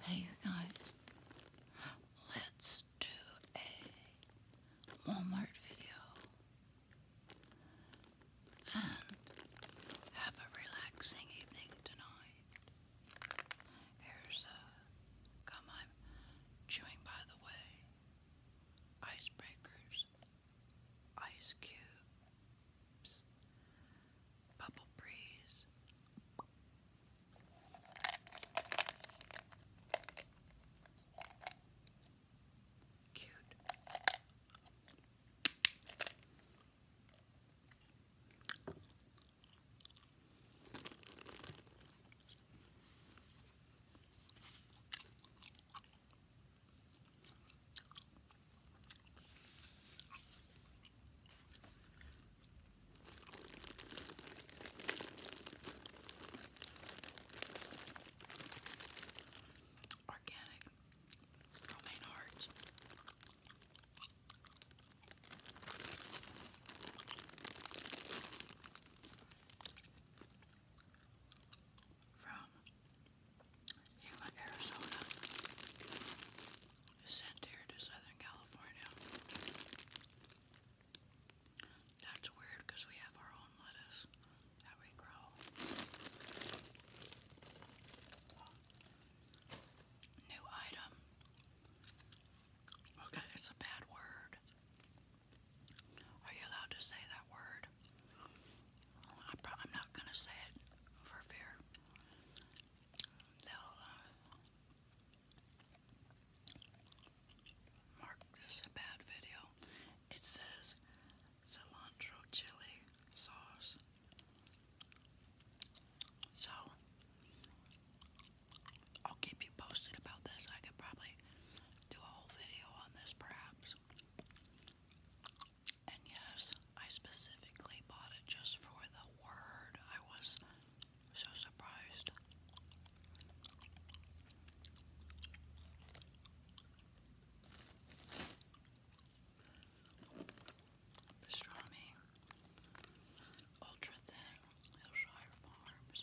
Hey, you guys, let's do a Walmart video and have a relaxing evening tonight. Here's a gum I'm chewing, by the way. Icebreakers, ice cubes, Bubble breeze. Cute. Organic romaine heart. From Yuma, Arizona sent here to Southern California. That's weird because we have our own lettuce that we grow. New item. Okay, it's a bad word. Are you allowed to say that word? I'm not going to say it for fear they'll uh, mark this a bad video. It says cilantro chili sauce. So I'll keep you posted about this. I could probably do a whole video on this perhaps. And yes, I specifically bought it just for the word. I was so surprised. Pastrami, ultra thin, Hillshire Farms.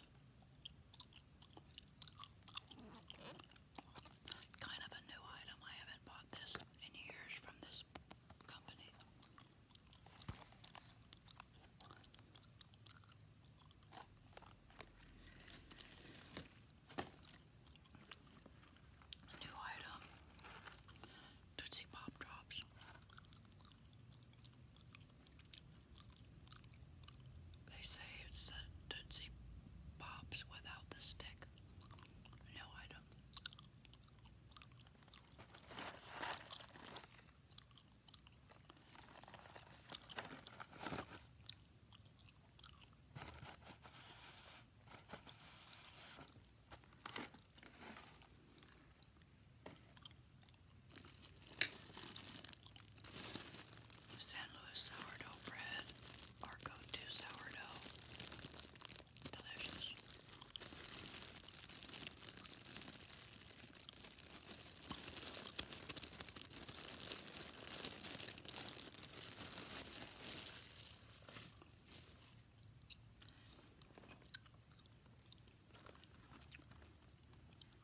Kind of a new item. I haven't bought this in years from this new item, Tootsie Pop Drops. They say it's the Tootsie Pops without the stick. New item. San Luis sourdough bread, our go-to sourdough. Delicious.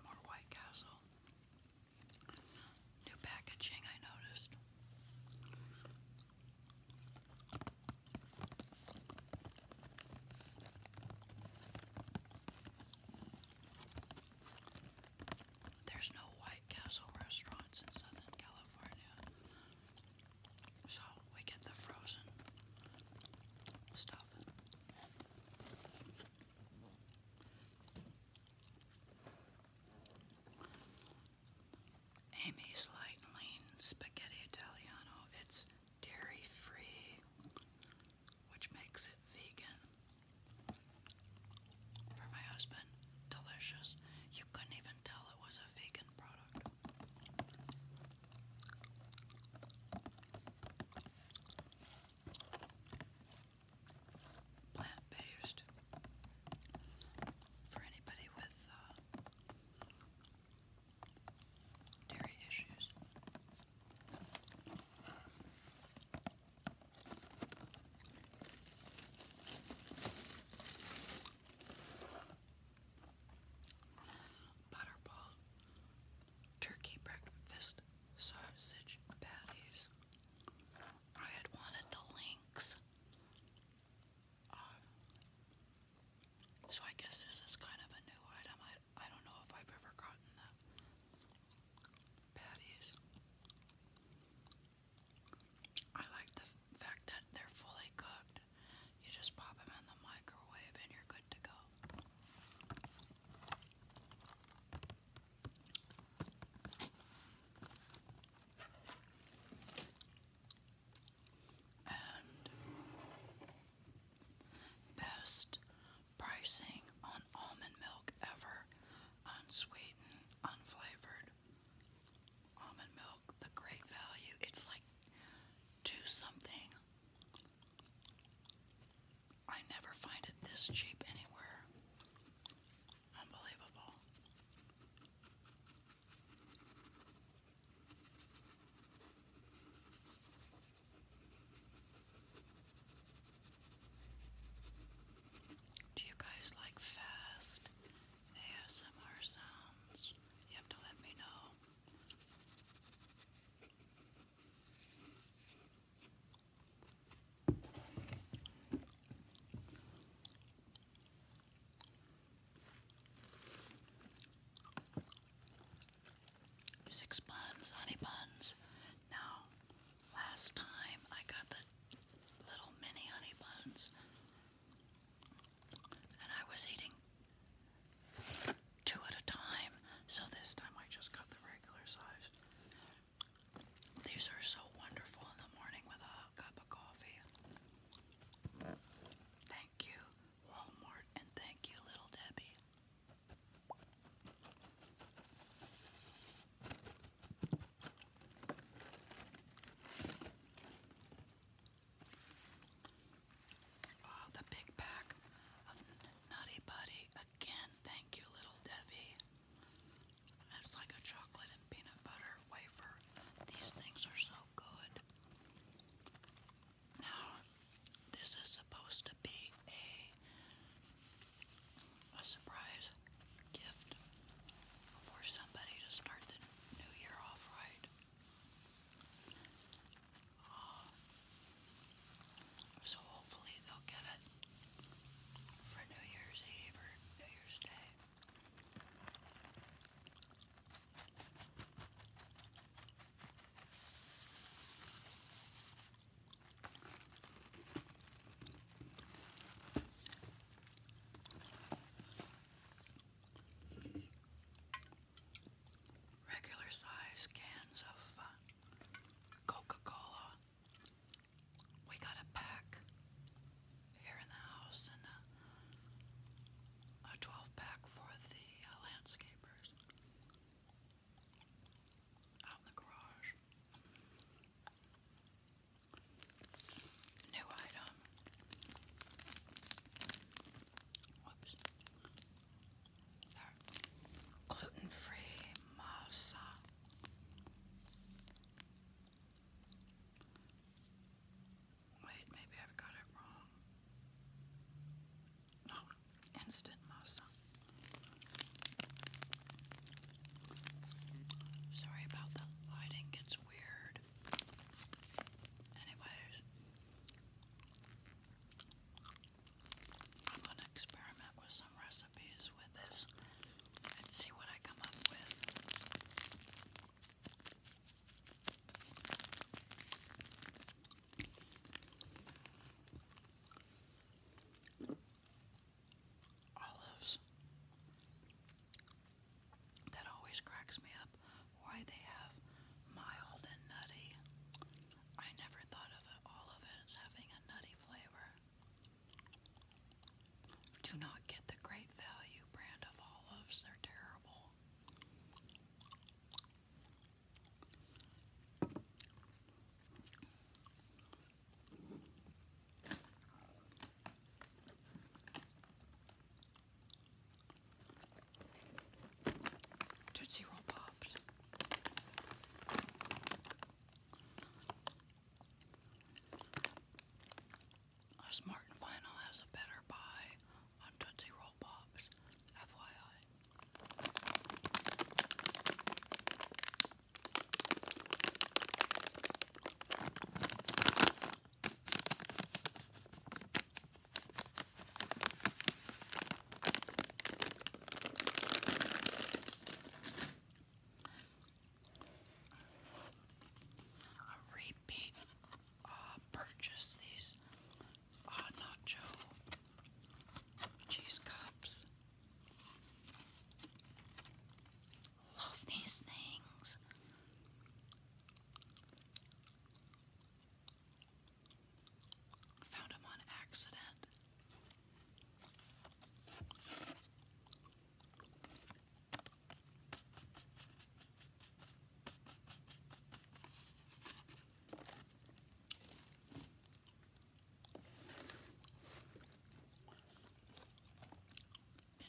More White Castle. New packaging, I noticed. There's no White Castle restaurants in Southern California, so we get the frozen stuff. Amy's Light and Lean Spaghetti Italiano. It's dairy free, which makes it vegan. For my husband, delicious. You couldn't even tell it was a vegan product. Plant based for anybody with uh, dairy issues. Butterball, turkey breakfast, sausage patties. I had wanted the links. Um, so I guess this is kind of a new item. I I don't know if I've ever gotten the patties. I like the fact that they're fully cooked. You just pop them in the microwave and you're good to go best pricing on almond milk ever unsweetened unflavored almond milk the great value it's like two something I never find it this cheap anywhere Unbelievable. Do you guys like fast ASMR sounds? You have to let me know. Six buns, honey buns. Now, last time I got the little mini honey buns, and I was eating two at a time, so this time I just got the regular size. These are so wonderful in the morning with a cup of coffee. Thank you, Walmart, and thank you, Little Debbie. Oh, the big pack Nutty Buddy. Again, thank you, Little Debbie. It's like a chocolate and peanut butter wafer. These things are so good. Now, this is supposed to be a, a surprise gift for somebody to start the new year off right. Uh, so hopefully they'll get it for New Year's Eve or New Year's Day. Regular size cans of uh, Coca Cola we got a pack here in the house and a, 12 pack for the uh, landscapers out in the garage. New item. Whoops. Gluten free masa Wait, maybe I've got it wrong. No, instant masa. Sorry about the lighting gets weird. Anyways. I'm going to experiment with some recipes with this and see what I come up with. Olives. That always cracks me up. Why they have mild and nutty. I never thought of it, having a nutty flavor. Do not get the great value brand of olives, they're terrible. Tootsie Roll Pops. A Smart and Final has a better buy on Tootsie Roll FYI. A repeat purchase these uh, nacho cheese cups. Love these things. Found him on accident.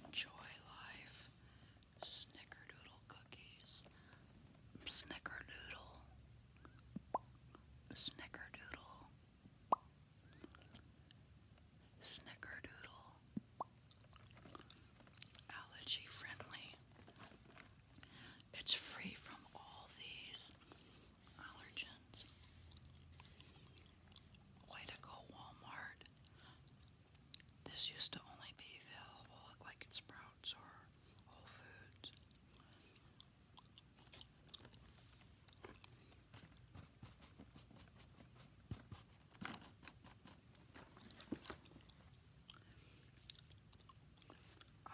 Enjoy life. Snickerdoodle cookies. Snickerdoodle. Snickerdoodle, Snickerdoodle, allergy friendly. It's free from all these allergens. Way to go, Walmart. This used to only be available like at Sprouts or Whole Foods. Oh,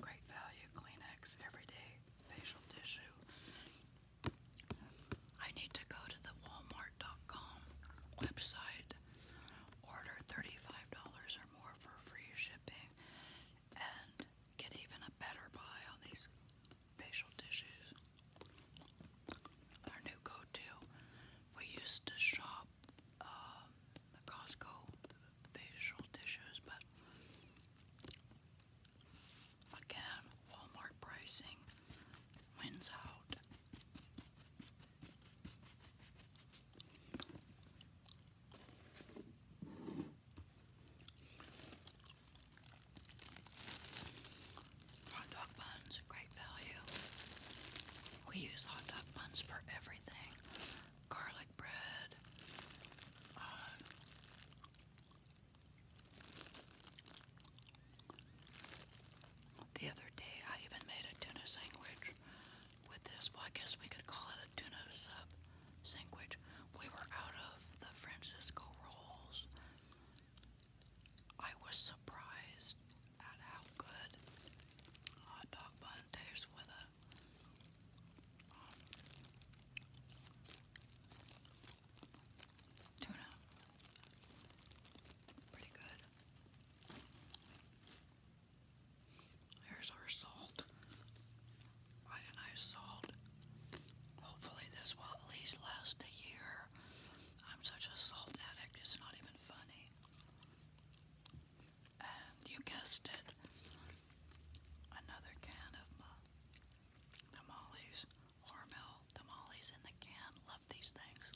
great value Kleenex everyday facial tissue. I need to go to the Walmart.com website, order $35 or more for free shipping, and get even a better buy on these facial tissues. Our new go-to. We used to shop uh, the Costco facial tissues, but again, Walmart pricing wins out. Hot dog buns, great value. We use hot dog buns for everything garlic bread, uh, the other day, I even made a tuna sandwich with this. Well, I guess we could call it a tuna sub sandwich. We were out of the Francisco rolls. I was surprised at how good hot dog bun with a um, tuna. Pretty good. Here's our salt. Why didn't I salt? Hopefully this will at least last a year. I'm such a salt addict, it's not even funny. And you guessed it. Another can of uh, tamales. Hormel tamales in the can. Love these things.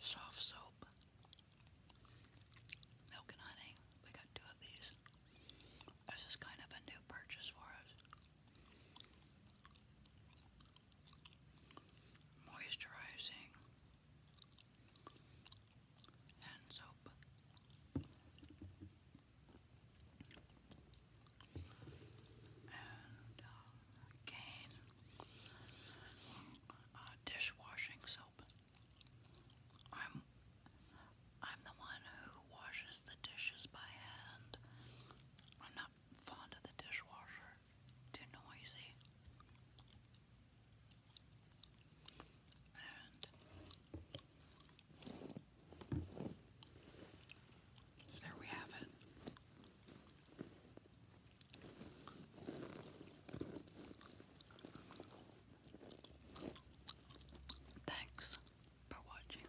Soft soap, milk and honey. We got two of these. This is kind of a new purchase for us. Moisturizing and soap. And um, dishwashing soap. I'm I'm the one who washes the dishes by hand. I'm not fond of the dishwasher. Too noisy. So there we have it. Thanks for watching.